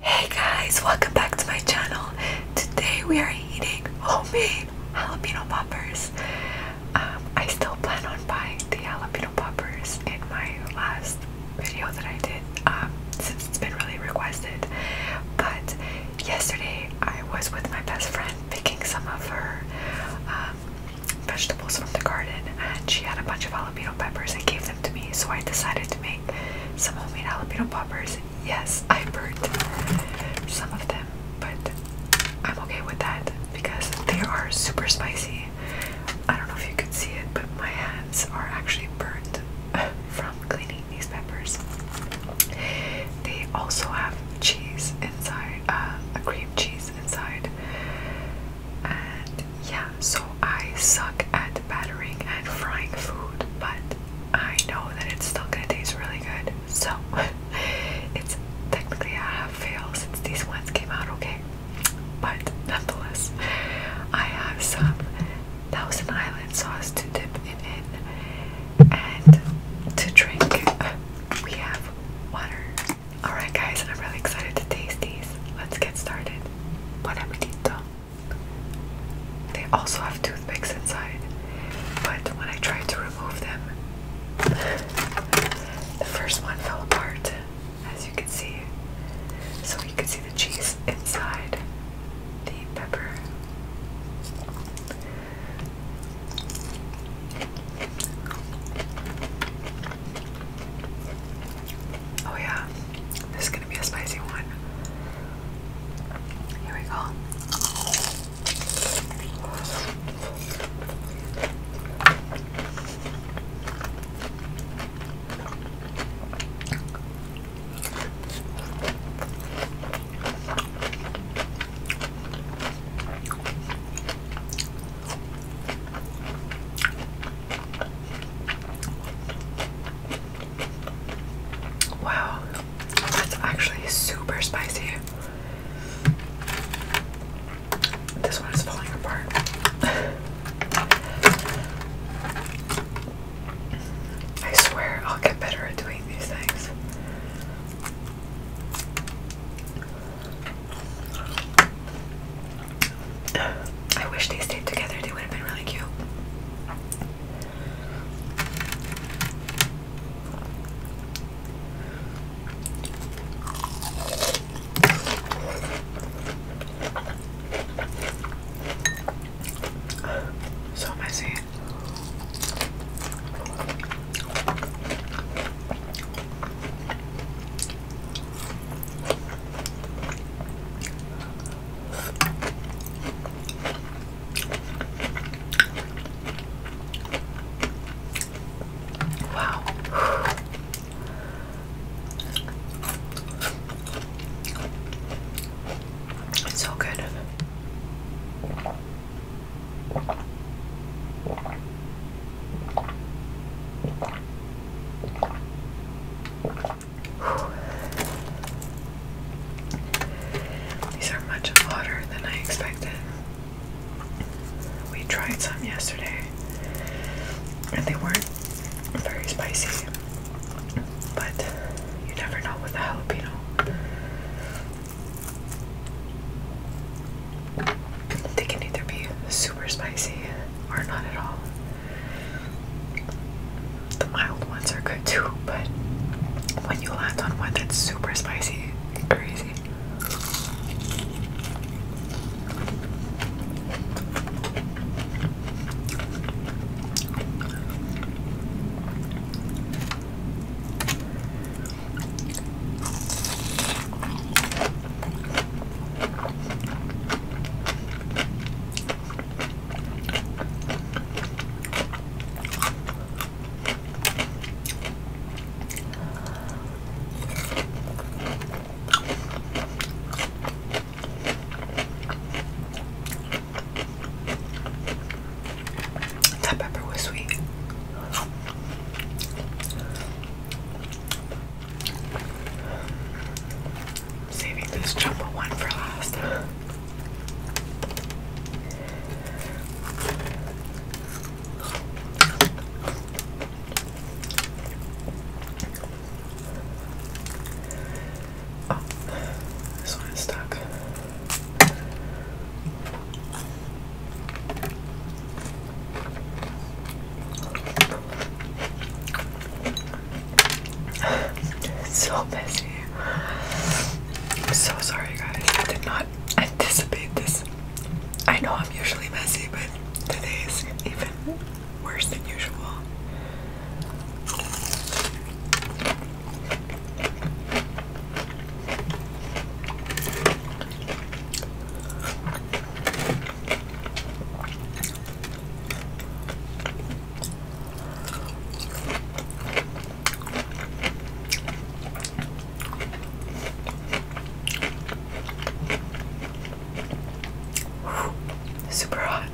Hey guys, welcome back to my channel. Today we are eating homemade jalapeno poppers. Um, I still plan on buying the jalapeno poppers in my last video that I did um, since it's been really requested. But yesterday I was with my best friend picking some of her um, vegetables from the garden, and she had a bunch of jalapeno peppers and gave them to me. So I decided to make some homemade jalapeno poppers. Yes, I burnt some of them, but I'm okay with that because they are super spicy. I don't know if you can see it, but my hands are actually burnt from cleaning these peppers. They also have cheese inside, uh, a cream cheese inside, and yeah, so I suck at battering and frying food, but I know that it's still gonna taste really good. So it's technically a half fail since these ones came out okay. But nonetheless, I have some Thousand Island sauce to dip it in and to drink. We have water. Alright guys, I'm really excited to taste these. Let's get started. Bon appetito. They also have toothpicks inside, but when I tried to remove them, the first one fell apart, as you can see. So you can see the cheese inside the pepper. Oh, yeah, this is gonna be a spicy one. Here we go. Wow, that's actually super spicy. This one is falling apart. I swear I'll get better at doing these things. I wish they stayed together, they would have been really cute. So messy. Wow. It's so good. These are much hotter than I expected. We tried some yesterday and they weren't very spicy, but you never know with the jalapeno. They can either be super spicy or not at all. The mild ones are good too, but when you land on one that's super spicy, crazy. That pepper was sweet. I'm saving this jumbo one for last. Oh, this one is stuck so messy. I'm so sorry guys. I did not anticipate this. I know I'm usually messy, but today is even worse than usual. Super hot.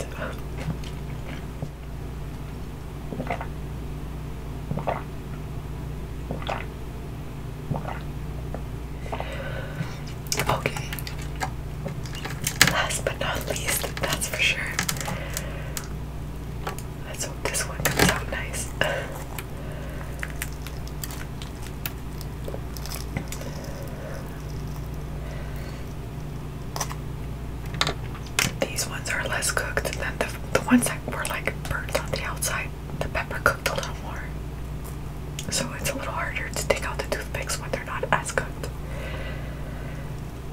Okay. Last but not least, that's for sure. Let's hope this one comes out nice. These ones are less cooked than the, ones I were like burnt on the outside, the pepper cooked a little more. So it's a little harder to take out the toothpicks when they're not as cooked.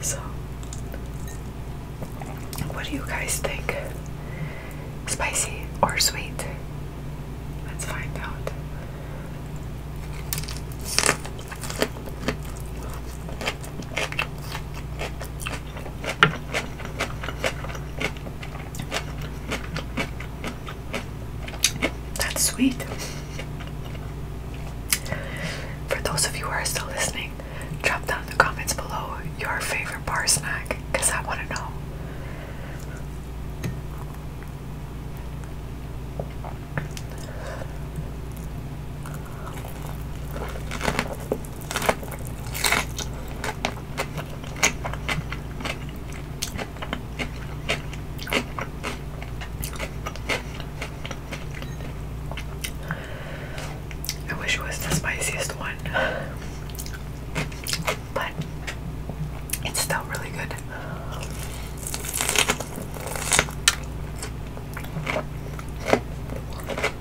So what do you guys think? Spicy or sweet? Let's find out. That's sweet. For those of you who are still listening, drop down in the comments below your favorite bar snack because I want to know. I wish it was the spiciest one, but it's still really good.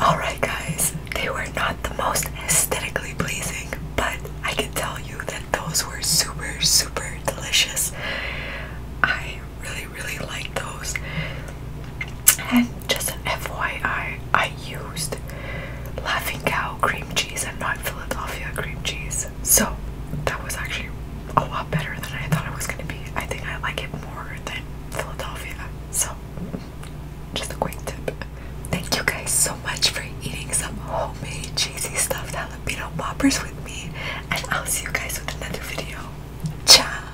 Alright, guys, they were not the most aesthetically pleasing, but I can tell you that those were super, super delicious. I really, really liked those. And just an FYI, I used Laughing Cow cream cheese and not Philadelphia cream cheese. So that was actually a lot better than I thought it was going to be. I think I like it more than Philadelphia. So just a quick tip. Thank you guys so much for eating some homemade cheesy stuffed jalapeno poppers with me. And I'll see you guys with another video. Ciao!